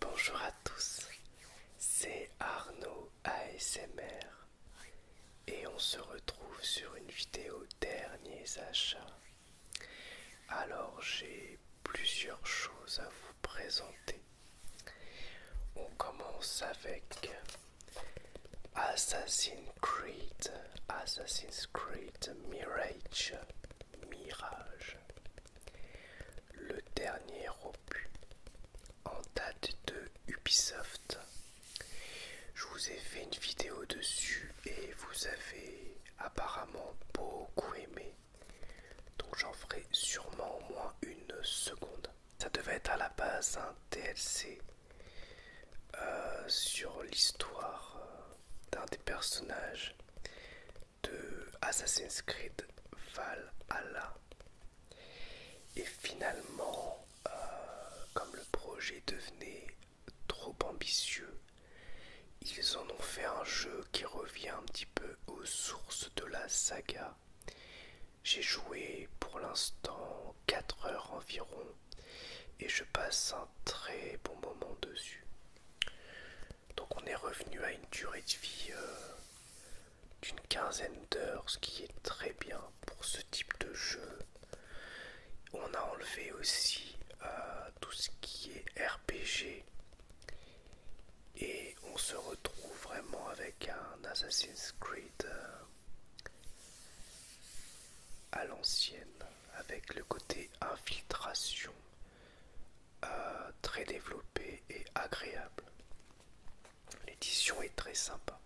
Bonjour à tous, c'est Arnaud ASMR et on se retrouve sur une vidéo derniers achats. Alors j'ai plusieurs choses à vous présenter. On commence avec Assassin's Creed, Assassin's Creed Mirage, Mirage. Le dernier opus en date de Ubisoft. Je vous ai fait une vidéo dessus et vous avez apparemment beaucoup aimé. Donc j'en ferai sûrement au moins une seconde. Ça devait être à la base un DLC euh, sur l'histoire euh, d'un des personnages de Assassin's Creed Valhalla. Et finalement, euh, comme le projet devenait trop ambitieux, ils en ont fait un jeu qui revient un petit peu aux sources de la saga j'ai joué pour l'instant 4 heures environ et je passe un très bon moment dessus. Donc on est revenu à une durée de vie euh, d'une quinzaine d'heures, ce qui est très bien pour ce type de jeu. On a enlevé aussi euh, tout ce qui est RPG et on se retrouve vraiment avec un Assassin's Creed euh, à l'ancienne avec le côté infiltration euh, très développé et agréable. L'édition est très sympa.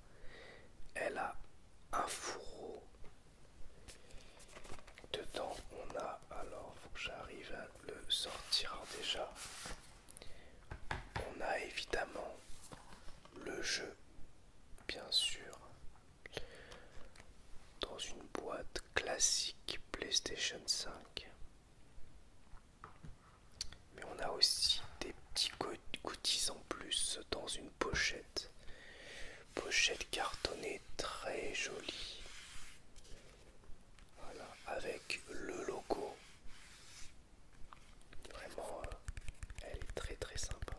Elle a un fourreau. Dedans, on a alors, faut que j'arrive à le sortir déjà. On a évidemment le jeu, bien sûr, dans une boîte classique PlayStation 5. Mais on a aussi des petits goodies en plus dans une pochette. Pochette cartonnée très jolie. Voilà, avec le logo Vraiment, euh, elle est très très sympa.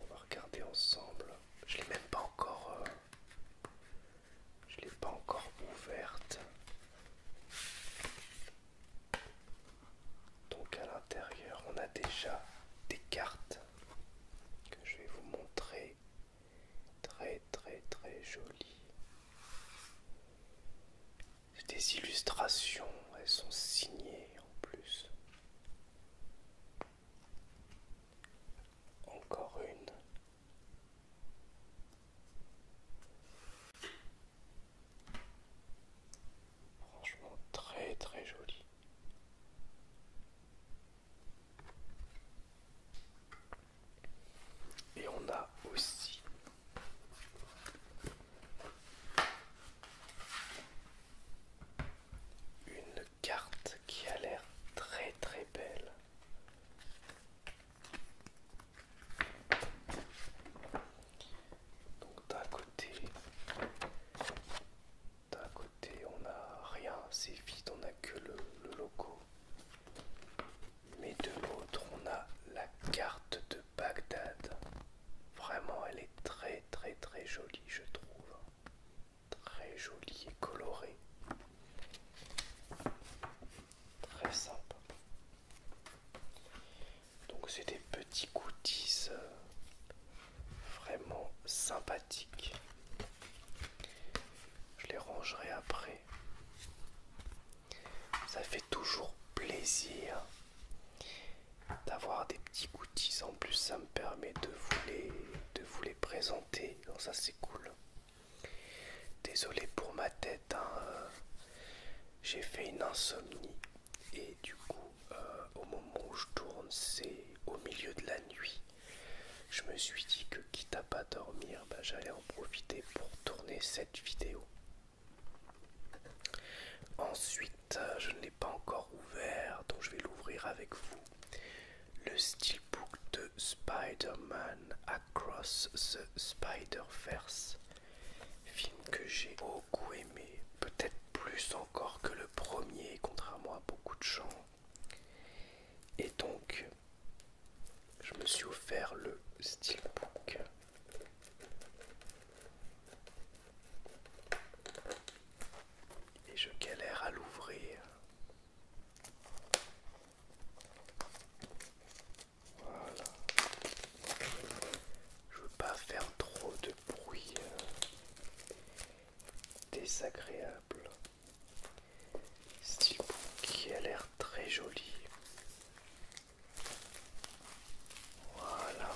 on va regarder ensemble. Je l'ai même pas encore. Euh, je l'ai pas encore ouverte. Donc à l'intérieur, on a déjà des cartes que je vais vous montrer. Très très très jolies des illustrations, elles sont signées en plus. Encore une. Franchement très très jolie. Et on a aussi une carte qui a l'air très très belle. Donc d'un côté, d'un côté on n'a rien, c'est vide, on a que le, le logo. Mais de l'autre on a la carte de Bagdad. Vraiment, elle est très très très jolie, je trouve. Très jolie et colorée. Très sympa. Donc c'est des petits goodies euh, vraiment sympathiques. Je les rangerai après. Ça fait toujours plaisir d'avoir des petits goodies. En plus, ça me permet de vous les, de vous les présenter. ça, c'est cool. Désolé pour ma tête. Hein. J'ai fait une insomnie. Et du coup, euh, au moment où je tourne, c'est au milieu de la nuit. Je me suis dit que quitte à pas dormir, bah, j'allais en profiter pour tourner cette vidéo. Ensuite, euh, je ne l'ai pas encore ouvert, donc je vais l'ouvrir avec vous. Le steelbook de Spider-Man Across the Spider-Verse. Film que j'ai beaucoup aimé, peut-être plus encore que le premier, contrairement à beaucoup de gens. Et donc, je me suis offert le steelbook et je galère à l'ouvrir. Voilà. Je veux pas faire trop de bruit euh, désagréable. style qui a l'air très joli. Voilà.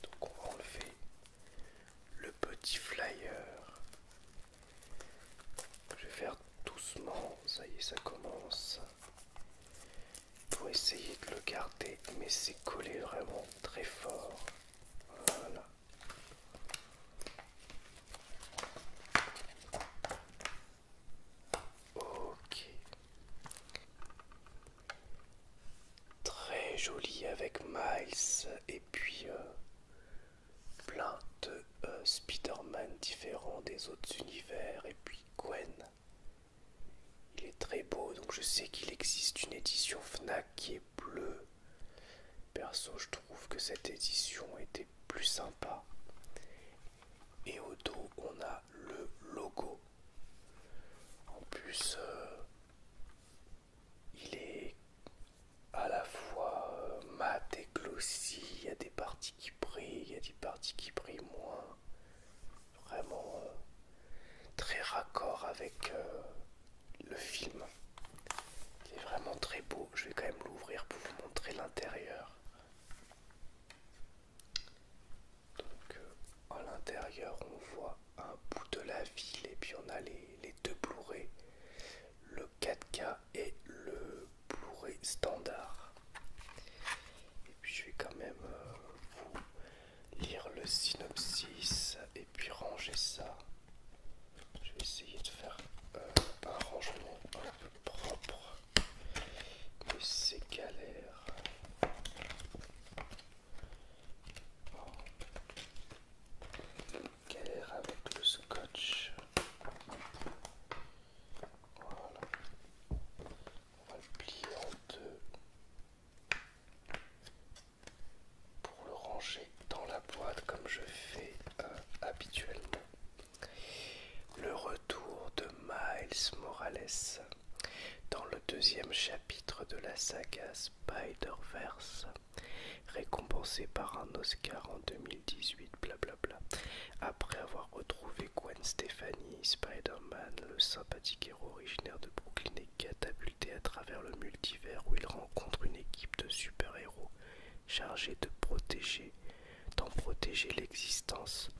Donc on va enlever le petit flyer. Je vais faire doucement, ça y est, ça commence. Pour essayer de le garder, mais c'est collé vraiment très fort. Voilà. Ok. Très joli avec Miles et puis euh, plein de euh, Spider-Man différents des autres univers et puis Gwen. Il est très beau donc je sais qu'il existe une édition Fnac qui est bleue. Perso je trouve que cette édition était plus sympa et au dos, on a le logo. En plus, euh, il est à la fois euh, mat et glossy. Il y a des parties qui brillent, il y a des parties qui brillent moins. Vraiment euh, très raccord avec le film. Il est vraiment très beau. Je vais quand même l'ouvrir pour vous montrer l'intérieur. Donc euh, à l'intérieur on voit un bout de la ville et puis on a les, deux Blu-ray, le 4K et le Blu-ray standard. Et puis je vais quand même euh, vous lire le synopsis et puis ranger ça. Je vais essayer de faire euh, un rangement un peu propre. Que ces galères. Oh. Galère avec le scotch. Voilà. On va le plier en deux pour le ranger dans la boîte comme je fais euh, habituellement. Le retour de Miles Morales dans le deuxième chapitre de la saga Spider-Verse, récompensé par un Oscar en 2018, blablabla, après avoir retrouvé Gwen Stefani, Spider-Man, le sympathique héros originaire de Brooklyn est catapulté à travers le multivers où il rencontre une équipe de super-héros chargés de protéger, d'en protéger l'existence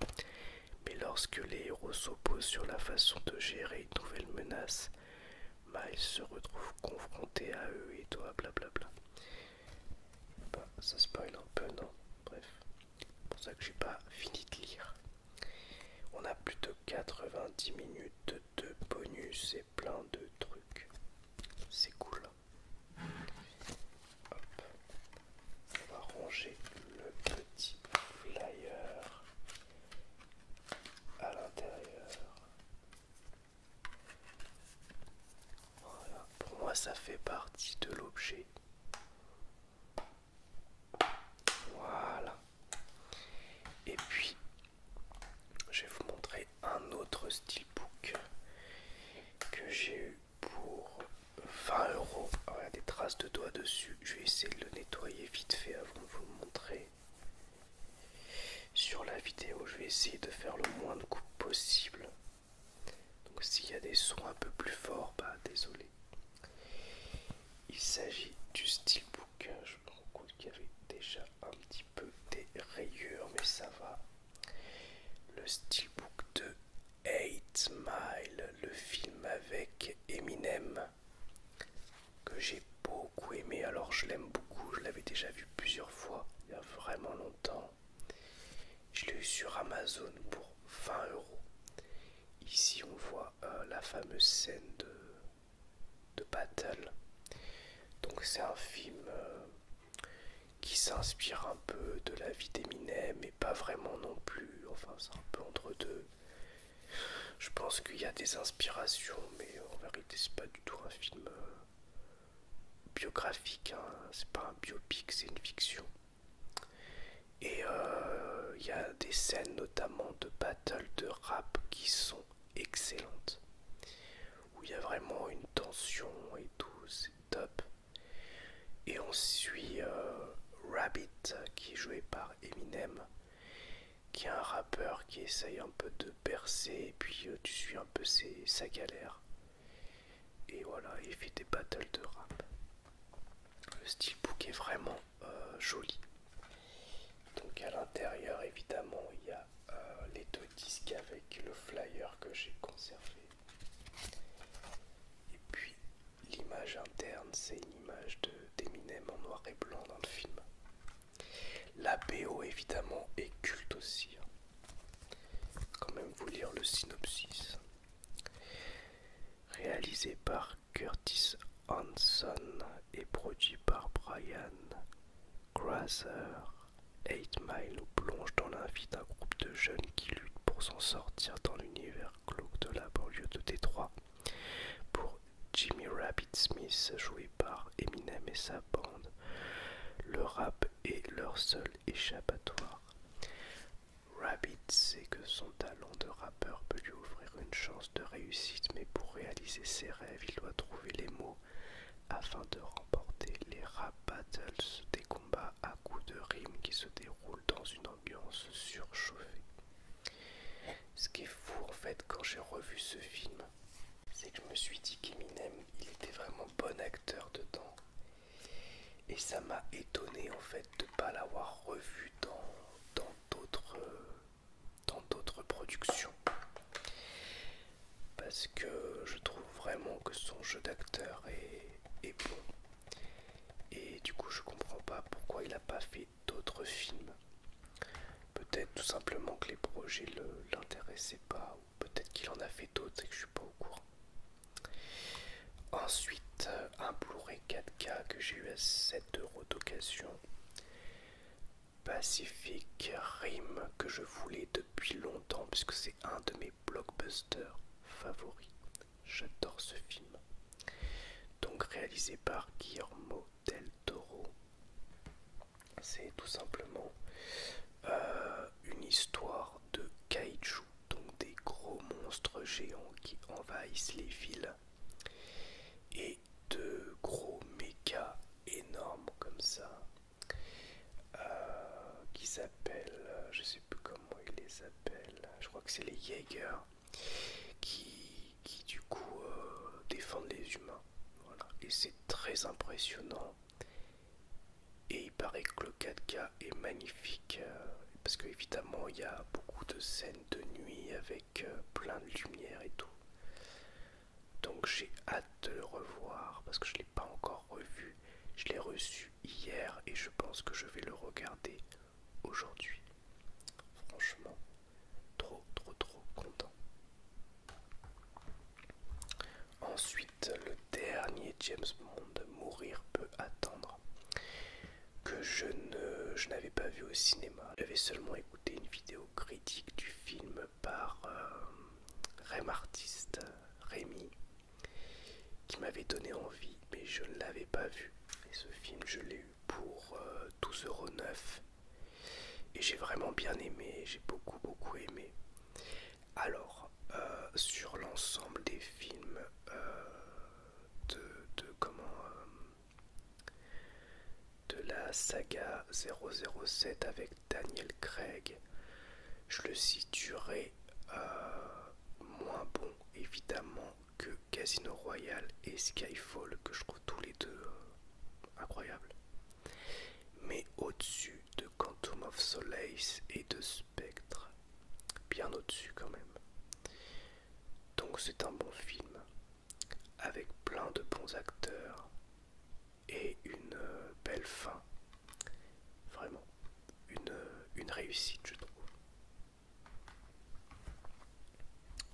mais lorsque les héros s'opposent sur la façon de gérer une nouvelle menace, Miles se retrouve confronté à eux et toi, blablabla. Bah, ça spoil un peu, non Bref, c'est pour ça que j'ai pas fini de lire. On a plus de 90 minutes de bonus et plein de trucs. C'est cool. Hein. On va ranger le petit flyer à l'intérieur. Pour moi, ça fait partie de l'objet. Voilà. Et puis, je vais vous montrer un autre book que j'ai eu pour 20 euros. il y a des traces de doigts dessus. Je vais essayer de le nettoyer vite fait avant de vous montrer. Sur la vidéo, je vais essayer de faire le moins de coups possible. Donc s'il y a des sons un peu plus forts, bah désolé. Il s'agit du steelbook. Je me rends compte qu'il y avait déjà un petit peu des rayures, mais ça va. Le steelbook 2 8 Mile, le film avec Eminem, que j'ai beaucoup aimé. Alors je l'aime beaucoup, je l'avais déjà vu plusieurs fois il y a vraiment longtemps. Je l'ai eu sur Amazon pour 20 euros. Ici on voit euh, la fameuse scène de, de battle. Donc c'est un film euh, qui s'inspire un peu de la vie d'Eminem pas vraiment non plus. Enfin, c'est un peu entre deux. Je pense qu'il y a des inspirations, mais en vérité, c'est pas du tout un film euh, biographique. Hein. C'est pas un biopic, c'est une fiction. Et euh, il y a des scènes, notamment de battle de rap, qui sont excellentes. Où il y a vraiment une tension et tout, c'est top. Et on suit euh, Rabbit qui est joué par Eminem, qui est un rappeur qui essaye un peu de percer, et puis euh, tu suis un peu sa galère. Et voilà, il fait des battles de rap. Le book est vraiment euh, joli. Donc à l'intérieur, évidemment, il y a les deux disques avec le flyer que j'ai conservé. Et puis l'image interne, c'est une image d'Eminem en noir et blanc dans le film. La BO évidemment est culte aussi. Hein. Quand même vous lire le synopsis. Réalisé par Curtis Hanson et produit par Brian Grasser, 8 Mile plonge dans la vie d'un groupe de jeunes qui luttent pour s'en sortir dans l'univers de la banlieue de Détroit pour Jimmy Rabbit Smith joué par Eminem et sa bande. Le rap est leur seul échappatoire. Rabbit sait que son talent de rappeur peut lui offrir une chance de réussite, mais pour réaliser ses rêves, il doit trouver les mots afin de remporter les rap battles, des combats à coups de rimes qui se déroulent dans une surchauffée. Ce qui est fou en fait quand j'ai revu ce film, c'est que je me suis dit qu'Eminem, il était vraiment bon acteur dedans. Et ça m'a étonné en fait de ne pas l'avoir revu dans d'autres dans d'autres productions. Parce que je trouve vraiment que son jeu d'acteur est, est bon. Et du coup, je comprends pas pourquoi il n'a pas fait d'autres films. Peut-être tout simplement que les projets ne l'intéressaient pas, ou peut-être qu'il en a fait d'autres et que je suis pas au courant. Ensuite, un Blu-ray 4K que j'ai eu à 7 euros d'occasion. Pacific Rim que je voulais depuis longtemps puisque c'est un de mes blockbusters favoris. J'adore ce film. Donc réalisé par Guillermo del Toro. C'est tout simplement euh, une histoire de kaiju, donc des gros monstres géants qui envahissent les villes. Et de gros mécas énormes comme ça, euh, qui s'appellent, je sais plus comment ils les appellent, je crois que c'est les Jaeger qui, du coup euh, défendent les humains. Et c'est très impressionnant. Et il paraît que le 4K est magnifique euh, Parce parce qu'évidemment il y a beaucoup de scènes de nuit avec euh, plein de lumière et tout. Donc j'ai hâte de le revoir parce que je ne l'ai pas encore revu. Je l'ai reçu hier et je pense que je vais le regarder aujourd'hui. Franchement, trop, trop, trop content. Ensuite, le dernier James Bond, Mourir peut attendre, que je ne, n'avais pas vu au cinéma. J'avais seulement écouté une vidéo critique du film par Remartiste euh, Rem Artiste, euh, Rémi, qui m'avait donné envie, mais je ne l'avais pas vu. Et ce film, je l'ai eu pour euh, euros et j'ai vraiment bien aimé, j'ai beaucoup beaucoup aimé. Alors, euh, sur l'ensemble des films euh, de, comment de la saga 007 avec Daniel Craig, je le situerai moins bon évidemment que Casino Royale et Skyfall que je trouve tous les deux euh, incroyables. Mais au-dessus de Quantum of Solace et de Spectre, bien au-dessus quand même. Donc c'est un bon film avec plein de bons acteurs et une euh, belle fin. Vraiment, une euh, réussite je trouve.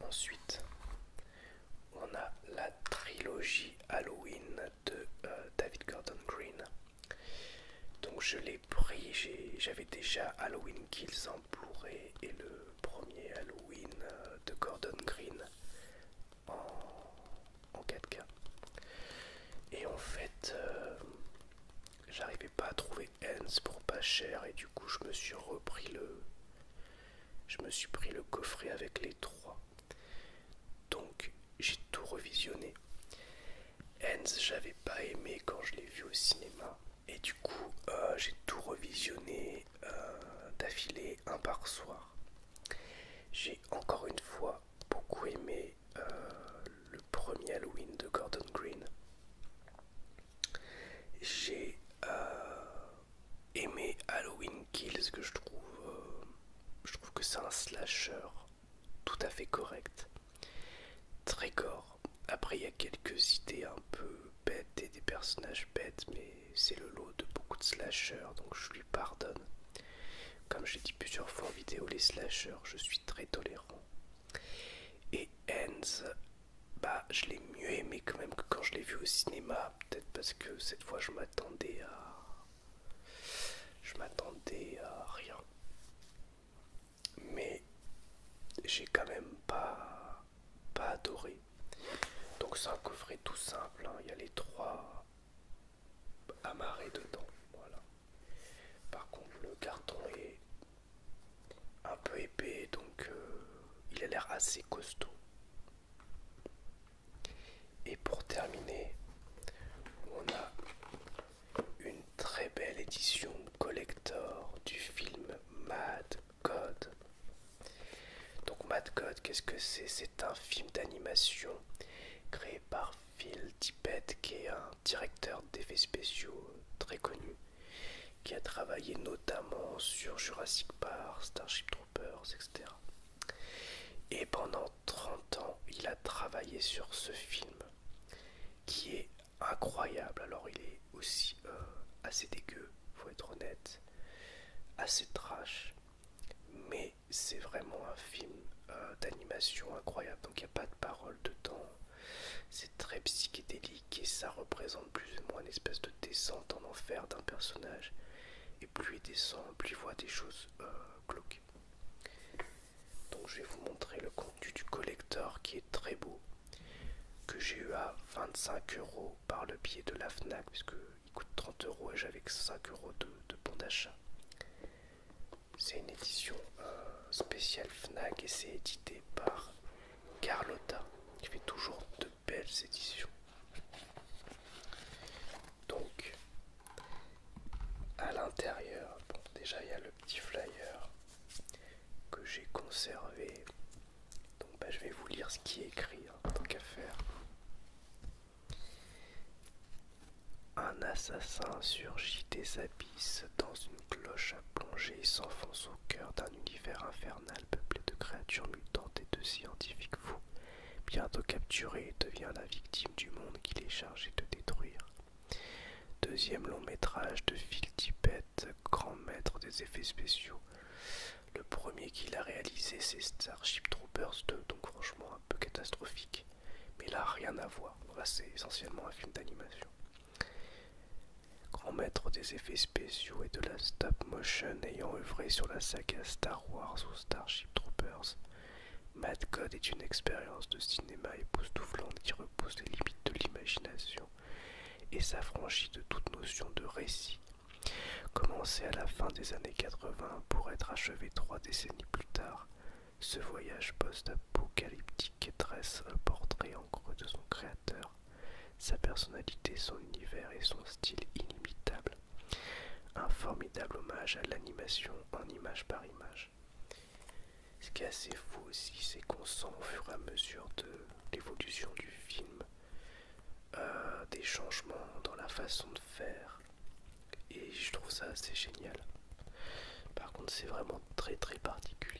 Ensuite, on a la trilogie Halloween de euh, David Gordon Green. Donc je l'ai pris, j'avais déjà Halloween Kills en Blu-ray et le premier Halloween euh, de Gordon Green en, 4K. Et en fait, euh, J'arrivais pas à trouver Hens pour pas cher et du coup je me suis repris le. Je me suis pris le coffret avec les trois. Donc j'ai tout revisionné. Hans j'avais pas aimé quand je l'ai vu au cinéma. Et du coup, euh, j'ai tout revisionné d'affilé euh, d'affilée un par soir. J'ai encore une fois beaucoup aimé euh, le premier Halloween de Gordon Green. J'ai euh, aimé Halloween Kills que je trouve, euh, je trouve que c'est un slasher tout à fait correct, très gore. Après il y a quelques idées un peu bêtes et des personnages bêtes, mais c'est le lot de beaucoup de slashers, donc je lui pardonne. Comme j'ai dit plusieurs fois en vidéo, les slashers, je suis très tolérant. Et Ends bah je l'ai mieux aimé quand même que quand je l'ai vu au cinéma. Peut-être parce que cette fois je m'attendais à. Je m'attendais à rien. Mais j'ai quand même pas, pas adoré. Donc c'est un coffret tout simple. Hein. Il y a les trois amarrés dedans. Voilà. Par contre le carton est un peu épais, donc euh, il a l'air assez costaud. Et pour terminer, on a une très belle édition collector du film Mad Code. Donc Mad Code, qu'est-ce que c'est C'est un film d'animation créé par Phil Tippett, qui est un directeur d'effets spéciaux très connu qui a travaillé notamment sur Jurassic Park, Starship Troopers, etc. Et pendant 30 ans, il a travaillé sur ce film qui est incroyable. Alors, il est aussi euh, assez dégueu, faut être honnête, assez trash, mais c'est vraiment un film euh, d'animation incroyable. Donc, il n'y a pas de parole dedans, c'est très psychédélique et ça représente plus ou moins une espèce de descente en enfer d'un personnage. Et plus il descend, plus il voit des choses bloquées euh, Donc je vais vous montrer le contenu du collector qui est très beau. Que j'ai eu à 25 euros par le biais de la FNAC, puisqu'il coûte 30 euros et j'avais que 5 euros de, de bon d'achat. C'est une édition euh, spéciale FNAC et c'est édité par Carlotta, qui fait toujours de belles éditions. Donc, à l'intérieur, déjà il y a le petit flyer que j'ai conservé. Donc, bah, je vais vous lire ce qui est écrit, en hein, tant qu'à faire. Un assassin surgit des abysses dans une cloche à plonger s'enfonce au cœur d'un univers infernal peuplé de créatures mutantes et de scientifiques fous. Bientôt capturé, devient la victime du monde qu'il est chargé de détruire. Deuxième long métrage de Phil Tippett, grand maître des effets spéciaux. Le premier qu'il a réalisé, c'est Starship Troopers 2, donc franchement un peu catastrophique. Mais là, rien à voir. c'est essentiellement un film d'animation grand maître des effets spéciaux et de la stop motion ayant œuvré sur la saga Star Wars ou Starship Troopers, Mad God est une expérience de cinéma époustouflante qui repousse les limites de l'imagination et s'affranchit de toute notion de récit. Commencé à la fin des années 80 pour être achevé trois décennies plus tard, ce voyage post-apocalyptique dresse euh, le portrait en creux de son créateur sa personnalité, son univers et son style inimitable. Un formidable hommage à l'animation en image par image. Ce qui est assez fou aussi, c'est qu'on sent au fur et à mesure de l'évolution du film euh, des changements dans la façon de faire. Et je trouve ça assez génial. Par contre, c'est vraiment très très particulier.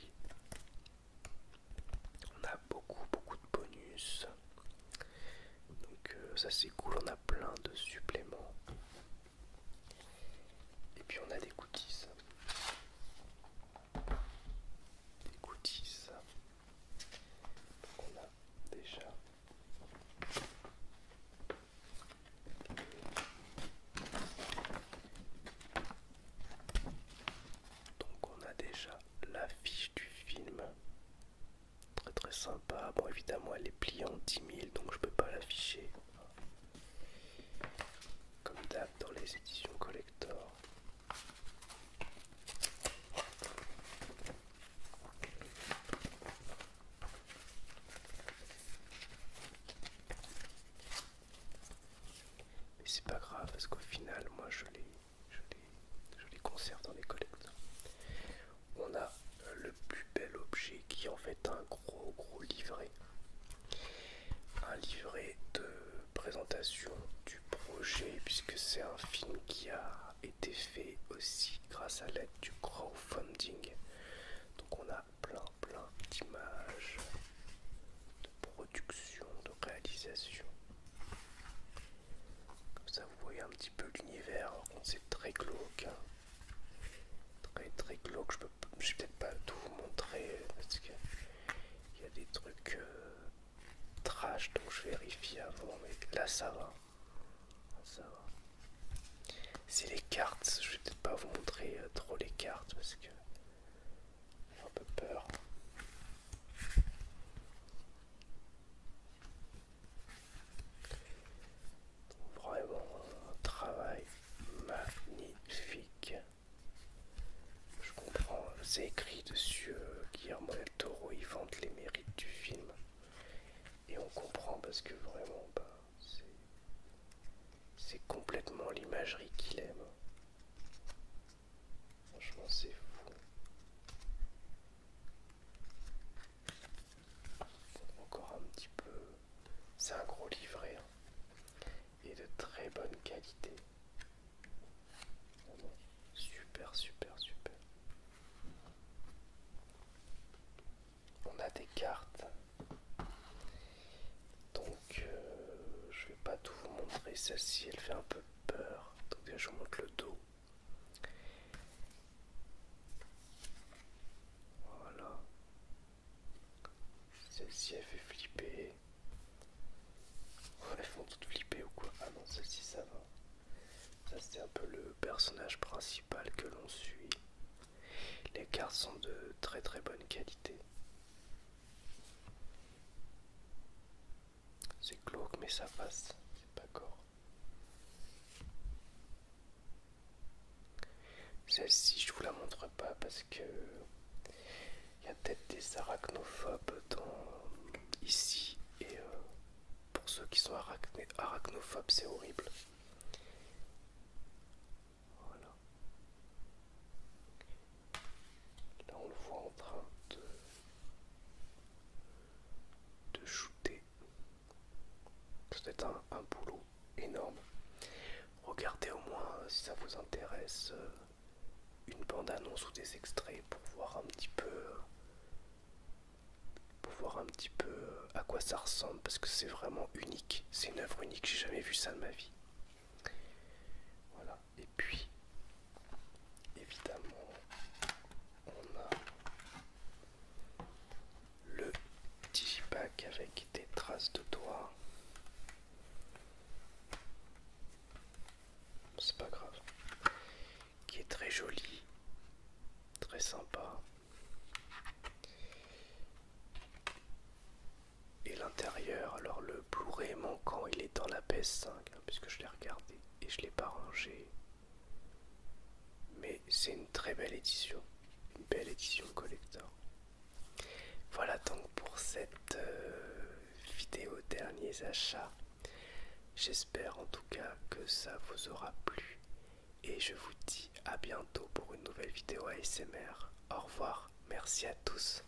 On a beaucoup beaucoup de bonus. Donc euh, ça c'est cool, on a plein de suppléments. Et puis on a des coutisses. Des a déjà... Donc on a déjà l'affiche du film. Très très sympa. Bon évidemment elle est pliée en 10 000 donc je peux pas l'afficher. Comme d'hab dans les éditions collector. Mais c'est pas grave parce qu'au final moi je l'ai je les, conserve dans les collectes. On a le plus bel objet qui en fait un gros gros livret. Un livret de présentation du projet puisque c'est un film qui a été fait aussi grâce à l'aide du crowdfunding. Donc on a plein plein d'images production, de réalisation. Comme ça, vous voyez un petit peu l'univers. Hein, c'est très glauque. Hein. Très très glauque. Je peux, vais peut-être pas tout vous montrer euh, parce qu'il y a des trucs euh, trash. Donc je vérifie avant. Mais là, ça va. Ça va. C'est les cartes. Je vais peut-être pas vous montrer euh, trop les cartes parce que j'ai un peu peur. Vraiment un travail magnifique. Je comprends, c'est écrit dessus Guillermo del Toro, il vante les mérites du film. Et on comprend parce que vraiment, bah, c'est complètement l'imagerie qu'il aime. Franchement, c'est fou. Encore un petit peu. C'est un gros livret hein. et de très bonne qualité. super, super, super. On a des cartes. Donc, euh, je vais pas tout vous montrer. Celle-ci, elle fait un peu peur. Donc je monte le dos. Voilà. Celle-ci elle fait flipper. Elles font toutes flipper ou quoi Ah non, celle-ci ça va. Ça c'est un peu le personnage principal que l'on suit. Les cartes sont de très très bonne qualité. C'est glauque, mais ça passe. C'est pas gore. Celle-ci, je vous la montre pas parce que il y a peut-être des arachnophobes ici. Et euh, pour ceux qui sont arachnophobes, c'est horrible. Voilà. Là, ben, on le voit en train de, shooter. C'est un, un boulot énorme. Regardez au moins, si ça vous intéresse, euh, une bande-annonce ou des extraits pour voir un petit peu pour voir un petit peu euh, à quoi ça ressemble parce que c'est vraiment unique, c'est une œuvre unique, j'ai jamais vu ça de ma vie. Voilà, puis, évidemment, on a le digipack avec des traces de doigts. C'est pas grave. Qui est très joli, très sympa. Et l'intérieur, alors le Blu-ray manquant, il est dans la PS5. Hein, puisque je l'ai regardé et je l'ai pas rangé. Mais c'est une très belle édition, une belle édition collector. Voilà donc pour cette euh, vidéo derniers achats. J'espère en tout cas que ça vous aura plu et je vous dis à bientôt pour une nouvelle vidéo ASMR. Au revoir, merci à tous.